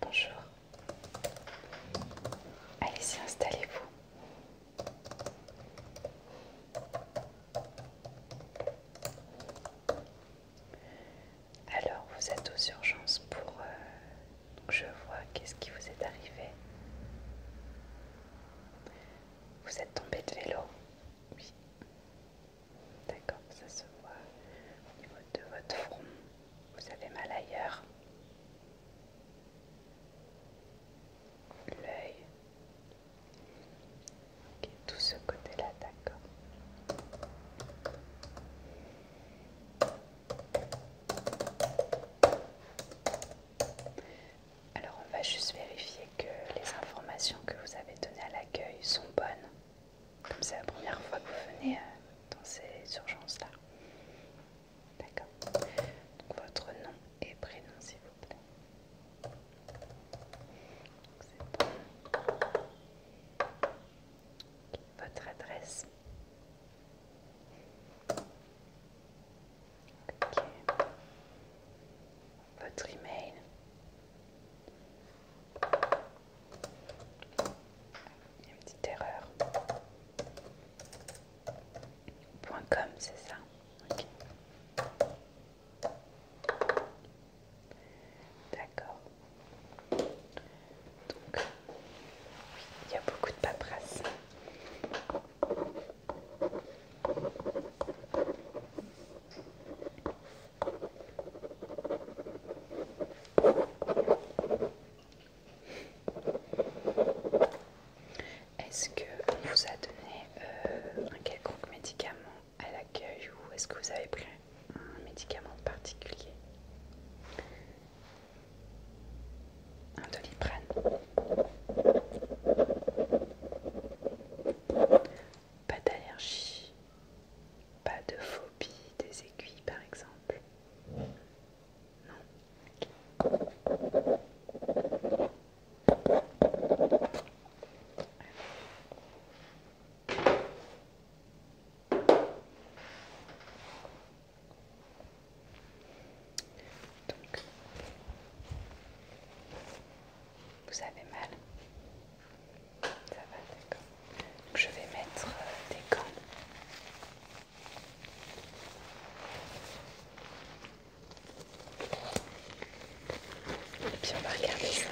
Bonjour. Allez-y, installez-vous. Alors, vous êtes aux urgences pour... Euh, je vois qu'est-ce qui vous est arrivé. Vous êtes tombé de vélo Oui. D'accord, ça se voit au niveau de votre front. Vous avez mal ailleurs. L'œil. Ok, tout ce côté-là, d'accord. Alors on va juste vérifier que les informations que vous avez données à l'accueil sont bonnes. Comme c'est la première fois que vous venez euh, dans ces urgences-là. D'accord. Votre nom et prénom s'il vous plaît votre adresse. Votre email. une petite erreur. .com, c'est ça. D'accord. Donc, il y a beaucoup de paperasse. Est-ce que vous a donné euh, un quelconque médicament à l'accueil ou est-ce que vous avez pris un médicament particulier Un doliprane Pas d'allergie Pas de phobie des aiguilles par exemple Non vous avez mal Ça va, d'accord. Je vais mettre euh, des gants. Et puis on va regarder ça.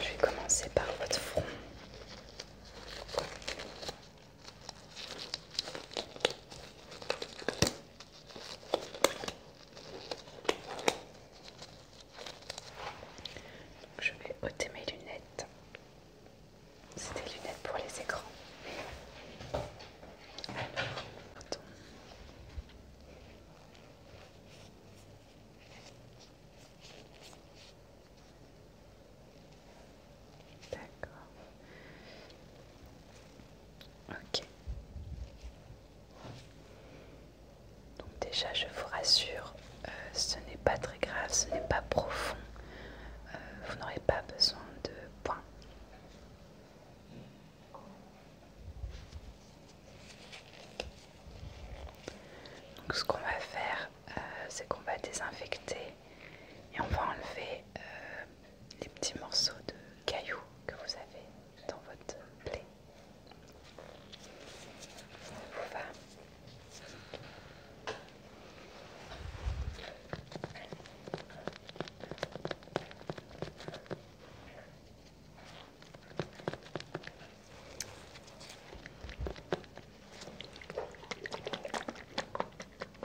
Je vais commencer par votre front je vais ôter mes lunettes. C'était des lunettes pour les écrans. D'accord. Ok. Donc déjà, je vous rassure, euh, ce n'est pas très grave, ce n'est pas profond. Euh, vous n'aurez pas besoin de points. Donc ce qu'on va faire, euh, c'est qu'on va désinfecter et on va enlever les petits morceaux de cailloux que vous avez dans votre plaie.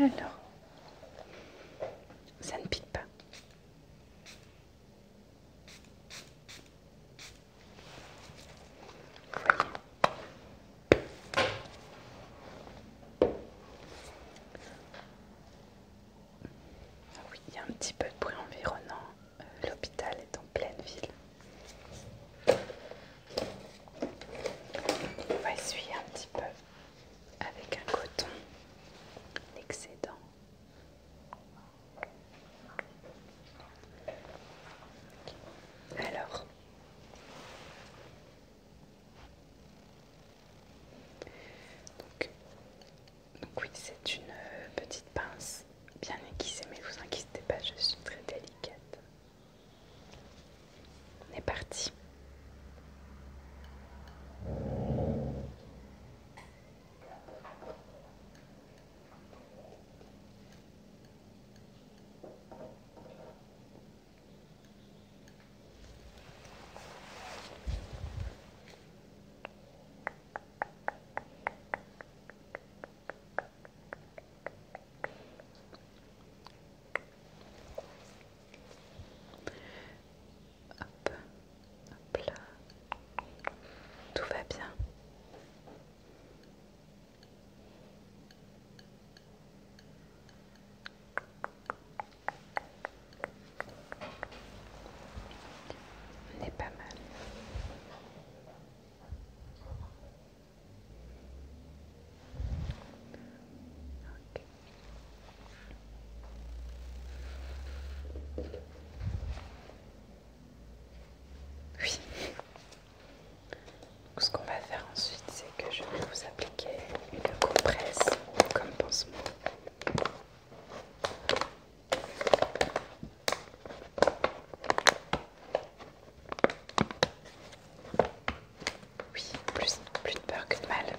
Alors, ça ne pique pas. Ah oui, il y a un petit peu de bruit environnant. Euh, l'hôpital est en pleine ville. On va essuyer un petit peu avec un coton excédent. Alors, donc, donc oui, c'est une euh, petite pince bien aiguisée, mais vous inquiétez pas, je suis très délicate. On est parti. Hop, hop tout va bien. N'est pas mal. Oui. ce qu'on va faire ensuite, c'est que je vais vous appliquer une compresse comme pansement. Oui, plus, plus de peur que de mal.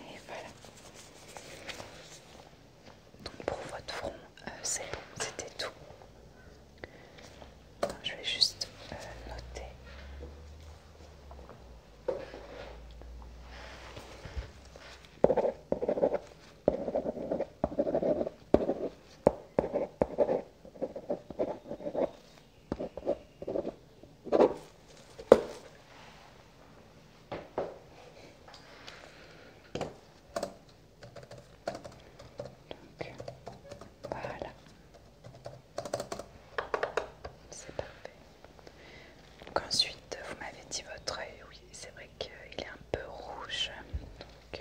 Et voilà. Donc pour votre front, euh, c'est bon, c'était tout. je vais juste euh, noter voilà. C'est parfait. ensuite, vous m'avez dit votre œil, euh, oui, c'est vrai qu'il est un peu rouge. Euh,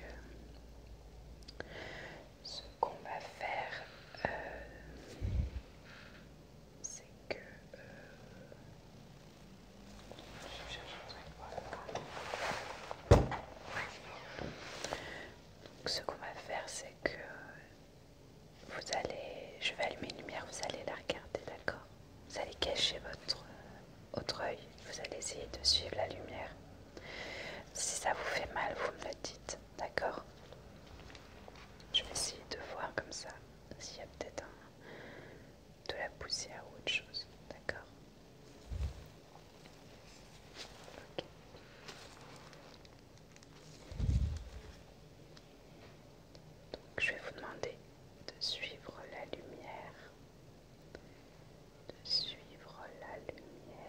ce qu'on va faire, euh, c'est que... Euh, ce qu'on va faire, c'est que vous allez... Je vais allumer une lumière, vous allez la regarder, d'accord Vous allez cacher votre euh, autre œil, vous allez essayer de suivre la lumière. Si ça vous fait mal, vous me le dites, d'accord Je vais essayer de voir comme ça s'il y a peut-être de la poussière ou autre chose, d'accord Donc je vais vous demander de suivre la lumière, de suivre la lumière.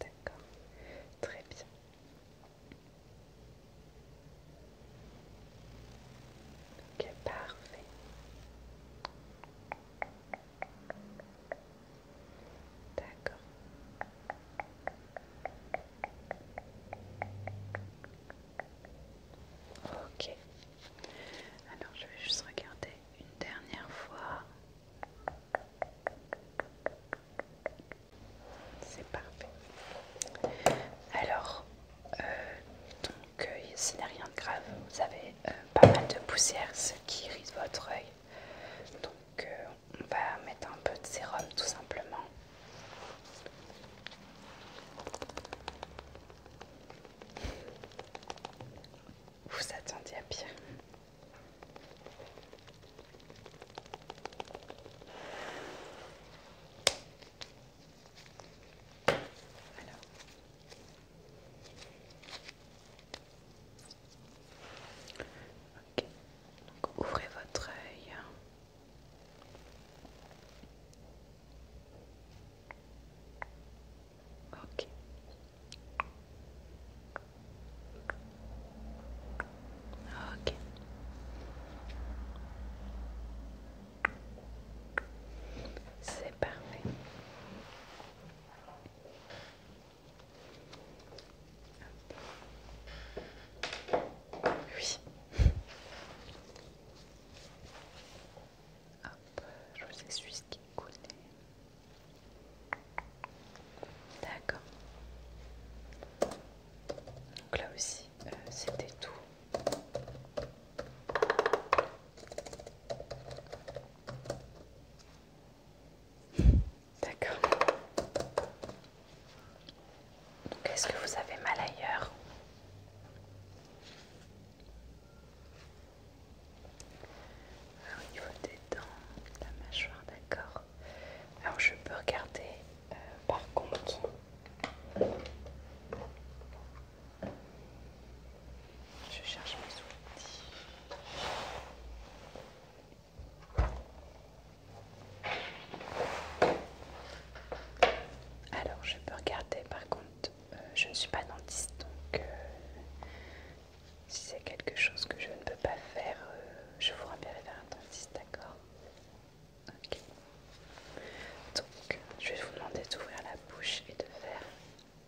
D'accord, très bien. Ok, parfait. D'accord. Ok. Alors je vais juste regarder une dernière fois. C'est parfait. Alors, euh, donc, ce euh, n'est rien de grave. Vous avez euh, pas mal de poussière, ce qui irrite votre œil que on va mettre un peu de sérum tout simplement. Vous attendiez à pire. Ok, donc ouvrez votre œil. Ok. Ok. C'est parfait. Oui. Hop, je vous suisse ce qui connaît. D'accord. Donc là aussi, euh, c'était tout. D'accord. Donc est-ce que vous avez mal ailleurs Au niveau des dents, de la mâchoire, d'accord. Alors je peux regarder euh, par contre. Je cherche mes outils. Alors, je peux regarder, par contre, euh, je ne suis pas dentiste, donc euh, si c'est quelque chose que je ne peux pas faire, euh, je vous renverrai vers un dentiste, d'accord Ok. Donc, je vais vous demander d'ouvrir la bouche et de faire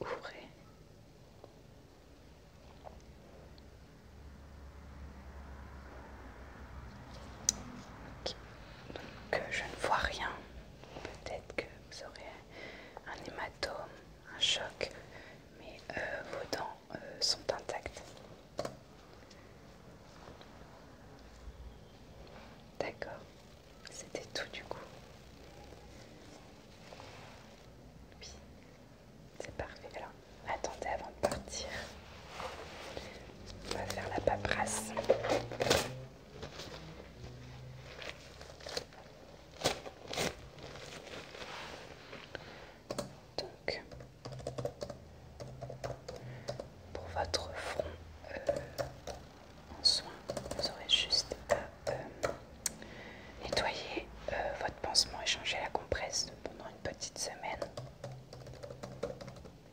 Ouvrez. Donc euh, je ne vois rien. Peut-être que vous aurez un hématome, un choc, mais euh, vos dents euh, sont intacts. D'accord, c'était tout du coup. Oui, c'est parfait. Alors, attendez avant de partir. On va faire la paperasse donc pour votre front euh, en soin, vous aurez juste à euh, nettoyer euh, votre pansement et changer la compresse pendant une petite semaine.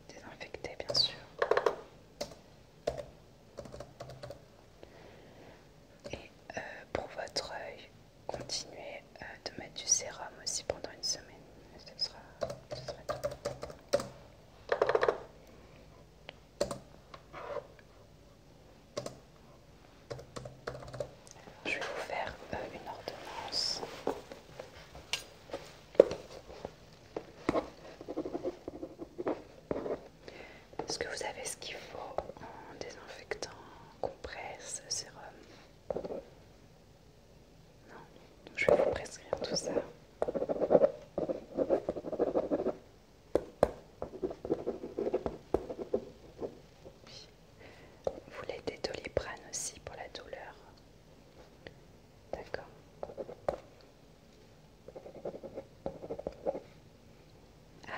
Désinfecter bien sûr. Et pour votre œil, continuer euh, de mettre du sérum aussi pendant une semaine. je vais vous faire euh, une ordonnance. Est-ce que vous avez ce qu'il faut en désinfectant compresse, sérum. Non, je vais vous prescrire tout ça. Vous voulez des doliprane aussi pour la douleur. D'accord.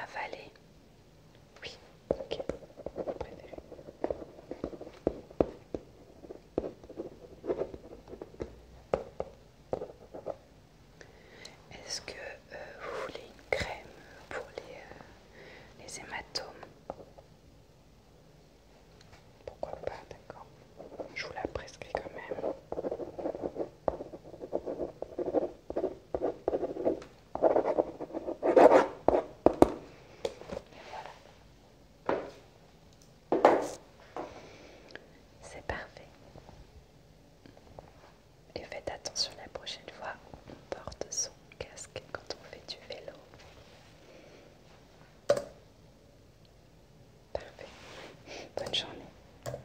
Avaler. Oui, ok, Est-ce que euh, vous voulez une crème pour les, euh, les hématomes Pourquoi pas, d'accord. Je vous la prescris quand même voilà. C'est parfait. Et faites attention la prochaine fois, on porte son casque quand on fait du vélo. Parfait. Bonne journée.